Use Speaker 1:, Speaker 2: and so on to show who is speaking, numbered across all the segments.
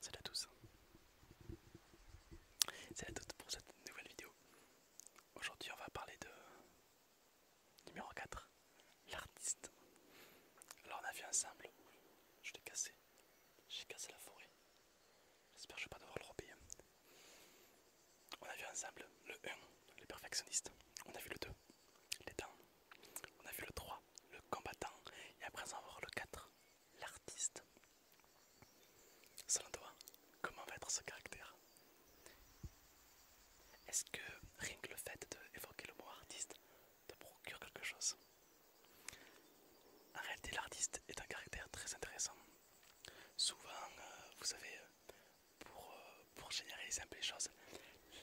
Speaker 1: Salut à tous. Salut à toutes pour cette nouvelle vidéo. Aujourd'hui on va parler de numéro 4, l'artiste. Alors on a vu ensemble, je l'ai cassé, j'ai cassé la forêt. J'espère que je vais pas devoir le repayer. On a vu ensemble le 1, le perfectionniste, On a vu le 2, les On a vu le 3, le combattant. Et après, on va voir le 4, l'artiste. Selon toi, comment va être ce caractère Est-ce que rien que le fait d'évoquer le mot artiste te procure quelque chose En réalité, l'artiste est un caractère très intéressant. Souvent, euh, vous savez, euh, pour, euh, pour généraliser un peu les choses,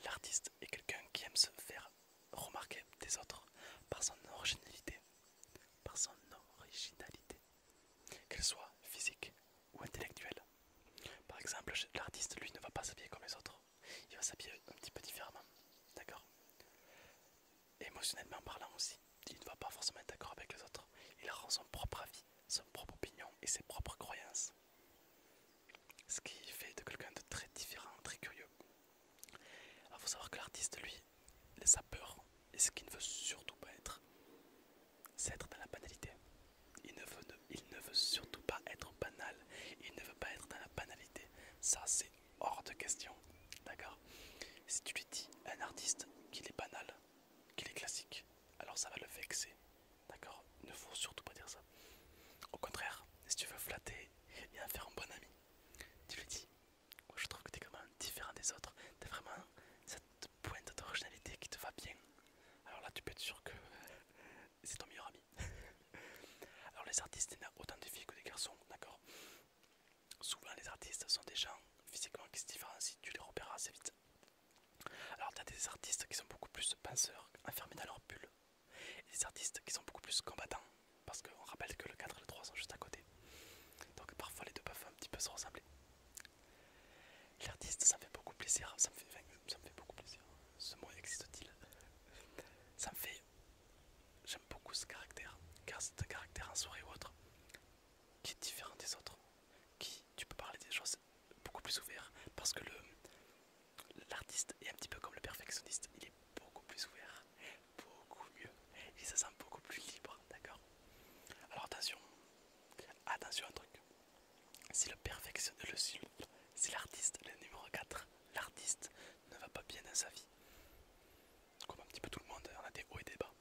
Speaker 1: l'artiste est quelqu'un qui aime se faire remarquer des autres par son originalité, par son originalité, qu'elle soit physique ou intellectuelle. Par exemple, l'artiste lui ne va pas s'habiller comme les autres, il va s'habiller un petit peu différemment, d'accord Émotionnellement parlant aussi, il ne va pas forcément être d'accord avec les autres. Il rend son propre avis, son propre opinion et ses propres croyances. Ce qui fait de quelqu'un de très différent, très curieux. Il faut savoir que l'artiste, lui, sa peur et ce qu'il ne veut surtout pas être, c'est être dans la banalité. Il ne, veut, il ne veut surtout pas être banal. Il ne veut pas être dans la banalité. Ça, c'est hors de question. D'accord Si tu lui dis un artiste qu'il est banal, qu'il est classique, alors ça va le vexer. D'accord Ne faut surtout pas dire ça. Au contraire, si tu veux flatter et en faire un bon ami, tu lui dis je trouve que t'es comme même différent des autres. T'as vraiment cette pointe d'originalité qui te va bien. Alors là, tu peux être sûr que c'est ton meilleur ami. Alors les artistes, il y autant de filles que des garçons, d'accord Souvent les artistes sont des gens physiquement qui se différencient, tu les repères assez vite. Alors tu as des artistes qui sont beaucoup plus penseurs, enfermés dans leur bulle, et des artistes qui sont beaucoup plus combattants, parce qu'on rappelle que le 4 et le 3 sont juste à côté. Donc parfois les deux peuvent un petit peu se ressembler. L'artiste, ça me fait beaucoup plaisir, ça me fait, ça me fait beaucoup plaisir. Ce mot existe-t-il Ça me fait... J'aime beaucoup ce caractère, car c'est un caractère en soirée ou autre qui est différent des autres, qui tu peux parler des choses beaucoup plus ouvert parce que le l'artiste est un petit peu comme le perfectionniste, il est beaucoup plus ouvert, beaucoup mieux il se sent beaucoup plus libre, d'accord Alors attention, attention à un truc. Si le perfectionniste, si l'artiste, le numéro 4, l'artiste ne va pas bien dans sa vie, comme un petit peu tout le monde, on a des hauts et des bas.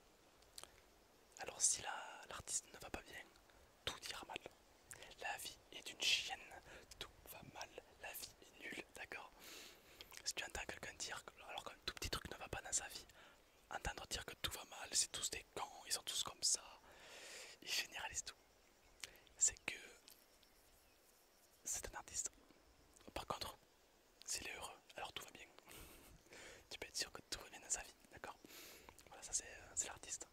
Speaker 1: Alors si l'artiste ne va pas bien, tout dira mal. La vie est une chienne, tout va mal, la vie est nulle, d'accord Si tu entends quelqu'un dire, alors qu'un tout petit truc ne va pas dans sa vie, entendre dire que tout va mal, c'est tous des cons, ils sont tous comme ça, ils généralisent tout. C'est que c'est un artiste. Par contre, s'il est heureux, alors tout va bien. tu peux être sûr que tout va bien dans sa vie, d'accord Voilà, ça c'est euh, l'artiste.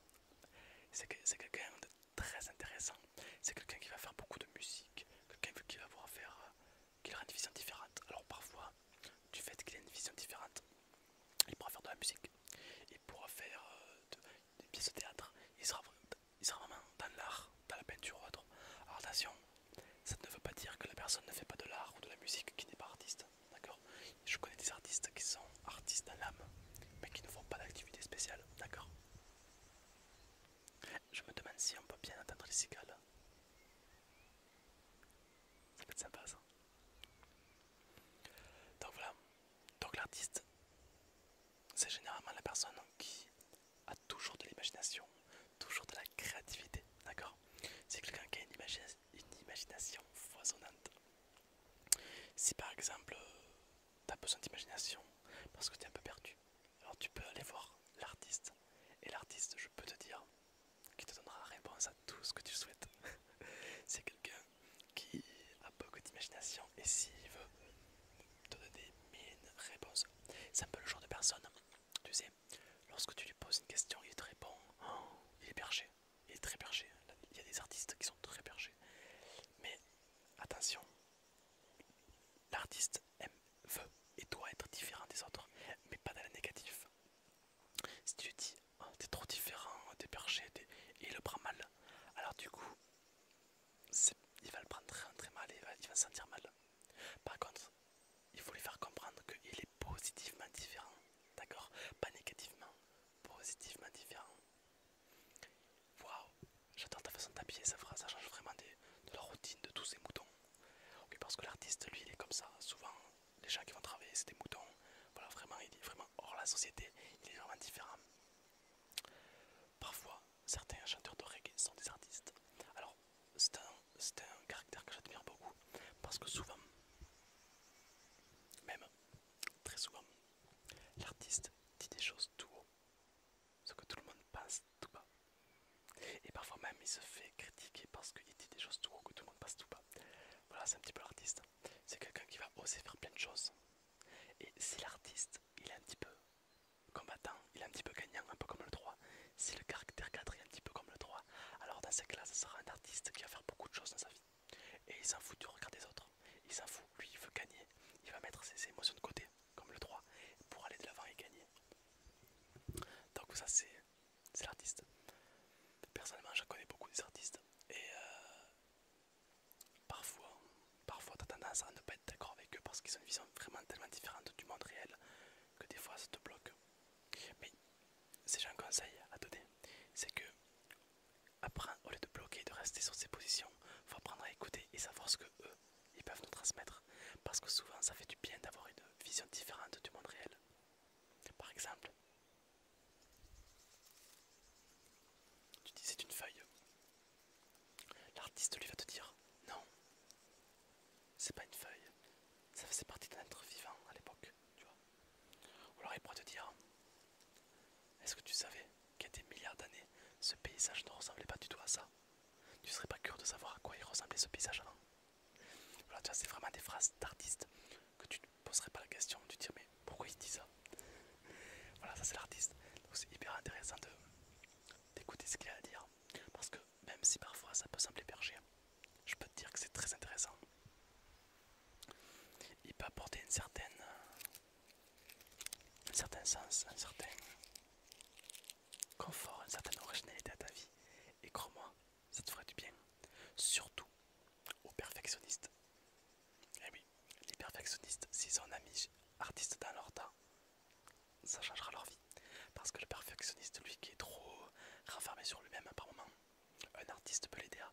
Speaker 1: C'est quelqu'un de très intéressant. C'est quelqu'un qui va faire beaucoup de musique, quelqu'un qui va pouvoir faire, euh, une vision différente. Alors parfois, du fait qu'il ait une vision différente, il pourra faire de la musique, il pourra faire euh, des pièces de théâtre, il sera vraiment dans l'art dans la peinture ou autre. Attention, ça ne veut pas dire que la personne ne fait pas de l'art ou de la musique qui n'est pas artiste. D'accord Je connais des artistes qui sont artistes d'âme, l'âme, mais qui ne font pas d'activité spéciale. D'accord Je me demande si on peut bien entendre les cigales. Ça peut être sympa ça. Donc voilà. Donc l'artiste, c'est généralement la personne qui a toujours de l'imagination, toujours de la créativité, d'accord C'est quelqu'un qui a une, imagination foisonnante. Si par exemple, euh, tu besoin d'imagination parce que tu es un peu perdu, alors tu peux aller voir l'artiste. Et l'artiste, je peux te dire, qui te donnera réponse à tout ce que tu souhaites. C'est quelqu'un qui a beaucoup d'imagination et s'il veut te donner mille réponses c'est un peu le genre de personne, tu sais, lorsque tu lui poses une question, il est très bon, hein, il est perché, il est très perché. Il y a des artistes qui sont très perchés. Mais attention, l'artiste aime, veut et doit être différent des autres, mais pas dans le négatif. Si tu lui dis, oh, t'es trop différent, t'es perché, et il le prend mal, alors du coup, il va le prendre très, mal et il va, se sentir mal. Par contre, il faut lui faire comprendre qu'il est positivement différent. D'accord Pas négativement, positivement différent. Waouh, j'adore ta façon de t'habiller, ça, change vraiment de la routine de tous ces moutons. parce que l'artiste, lui, il est comme ça. Souvent, les gens qui vont travailler, c'est des moutons. Voilà, vraiment, il est vraiment hors la société, il est vraiment différent. Parfois, certains chanteurs de reggae sont des artistes. Alors, c'est un, un caractère que j'admire beaucoup parce que souvent, même très souvent, l'artiste dit des choses tout haut, ce que tout le monde pense tout bas. Et parfois même, il se fait critiquer parce qu'il dit des choses tout haut que tout le monde pense tout bas. Voilà, c'est un petit peu l'artiste. C'est quelqu'un qui va oser faire plein de choses. Et si l'artiste, il est un petit peu combattant, il est un petit peu gagnant, un peu comme le 3. Si le caractère 4 est un petit peu comme le 3, alors dans cette classe, ce sera un artiste qui va faire beaucoup de choses dans sa vie. Et il s'en fout du regard des autres. Il s'en fout, lui il veut gagner. Il va mettre ses émotions de côté, comme le 3, pour aller de l'avant et gagner. Donc ça c'est l'artiste. Personnellement, je connais beaucoup des artistes. Et euh, Parfois, parfois tu as tendance à ne pas être d'accord avec eux parce qu'ils ont une vision vraiment tellement différente du monde réel que des fois ça te bloque. Mais c'est j'ai un conseil à donner, c'est que au lieu de bloquer, et de rester sur ses positions, faut apprendre à écouter et savoir ce que eux ils peuvent nous transmettre. Parce que souvent ça fait du bien d'avoir une vision différente du monde réel. Par exemple, tu dis c'est une feuille, L'artiste lui va te dire Non, c'est pas une feuille, ça faisait partie d'un être vivant à l'époque, tu vois. Ou alors il pourra te dire Est-ce que tu savais qu'il y a des milliards d'années, ce paysage ne ressemblait pas du tout à ça Tu serais pas curieux de savoir à quoi il ressemblait ce paysage avant hein? Voilà, tu c'est vraiment des phrases d'artistes que tu ne poserais pas la question, tu te dis Mais pourquoi il dit ça Voilà, ça c'est l'artiste. Donc c'est hyper intéressant d'écouter ce qu'il a à dire. Parce que même si parfois ça peut sembler berger, je peux te dire que c'est très intéressant. Il peut apporter un certain sens, un certain confort, une certaine originalité à ta vie. Et crois-moi, ça te ferait du bien. Surtout aux perfectionnistes. Eh les perfectionnistes, s'ils ont un ami artiste dans leur temps, ça changera leur vie. Parce que le perfectionniste, lui qui est trop renfermé sur lui-même par moment, un artiste peut l'aider à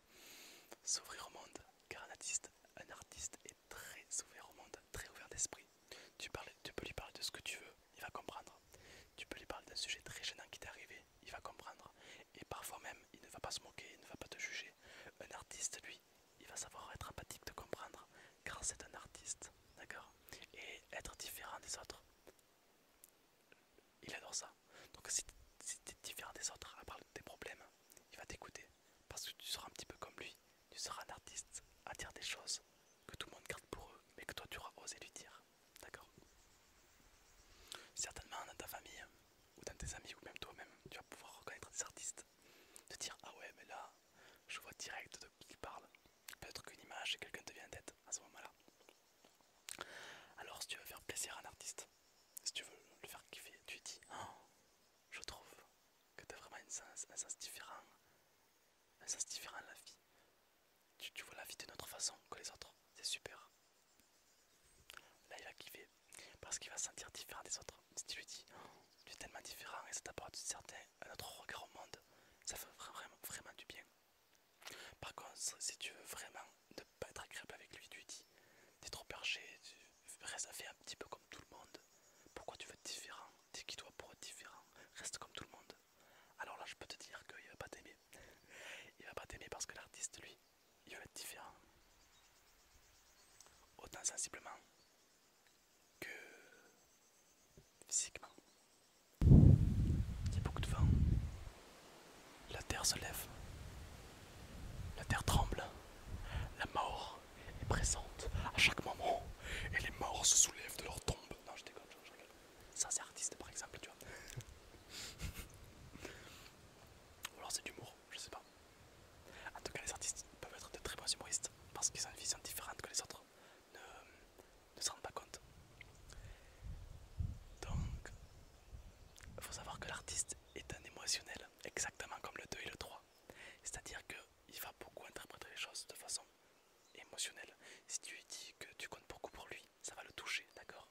Speaker 1: s'ouvrir au monde. Car un artiste, un artiste est très ouvert au monde, très ouvert d'esprit. Tu, tu peux lui parler de ce que tu veux, il va comprendre. Tu peux lui parler d'un sujet très gênant qui t'est arrivé, il va comprendre. Et parfois même, il ne va pas se moquer, il ne va pas te juger. Un artiste, lui, il va savoir être empathique de comprendre car c'est un artiste, d'accord Et être différent des autres. Il adore ça. Donc si tu es différent des autres à parler de tes problèmes, il va t'écouter. Parce que tu seras un petit peu comme lui. Tu seras un artiste à dire des choses que tout le monde garde pour eux, mais que toi tu auras osé lui dire. D'accord Certainement dans ta famille, ou dans tes amis ou même toi-même, tu vas pouvoir reconnaître des artistes, te dire ah ouais mais là je vois direct de qui il parle, peut-être qu'une image et quelqu'un te vient en tête à ce moment-là. Alors si tu veux faire plaisir à un artiste, si tu veux le faire kiffer, tu dis oh, je trouve que tu as vraiment une un sens différent, un sens différent à la vie. tu vois la vie d'une autre façon que les autres, c'est super. Là il va kiffer parce qu'il va se sentir différent des autres. Si tu lui dis tu es tellement différent et ça t'apporte certain un autre regard au monde, ça fait vraiment, vraiment du bien. Par contre, si tu veux vraiment ne pas être agréable avec lui, tu lui dis es trop perché, tu restes à faire un petit peu comme tout le monde. Pourquoi tu veux être différent Dis qui toi pour être différent Reste comme tout le monde. Alors là je peux te dire qu'il va pas t'aimer. Il va pas t'aimer parce que l'artiste lui il va être différent. Autant sensiblement que physiquement. Il y a beaucoup de vent. La terre se lève. La terre tremble. La mort est présente à chaque moment. Et les morts se soulèvent de leur tombe. Non, je déconne, je rigole. Ça, c'est artiste par exemple, tu vois. Ou alors c'est d'humour je sais pas. En tout cas, les artistes peuvent être de très bons humoristes parce qu'ils ont une vision différente que les autres ne, se rendent pas compte. Donc, il faut savoir que l'artiste est un émotionnel, exactement comme le 2 et le 3. C'est-à-dire qu'il va beaucoup interpréter les choses de façon émotionnelle. Si tu lui dis que tu comptes beaucoup pour lui, ça va le toucher, d'accord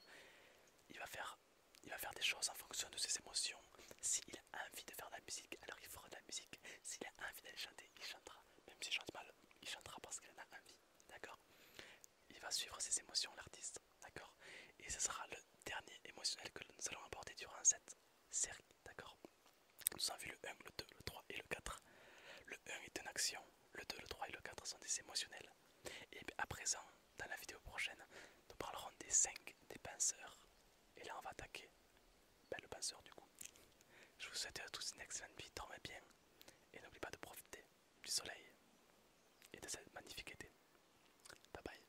Speaker 1: Il va faire il va faire des choses en fonction de ses émotions. S'il a envie de faire de la musique, alors il fera de la musique. S'il a envie d'aller chanter, il chantera. Même s'il chante mal, il chantera parce qu'il en a envie. D'accord Il va suivre ses émotions, l'artiste. D'accord Et ce sera le dernier émotionnel que nous allons apporter durant cette série. D'accord Nous avons vu le 1, le 2, le 3 et le 4. Le 1 est une action. Le 2, le 3 et le 4 sont des émotionnels. Et à présent, dans la vidéo prochaine, nous parlerons des 5 des pinceurs Et là, on va attaquer ben, le pinceur du coup. Je vous souhaite à tous une excellente vie, dormez bien. Et n'oubliez pas de profiter du soleil et de cette magnifique été. Bye bye.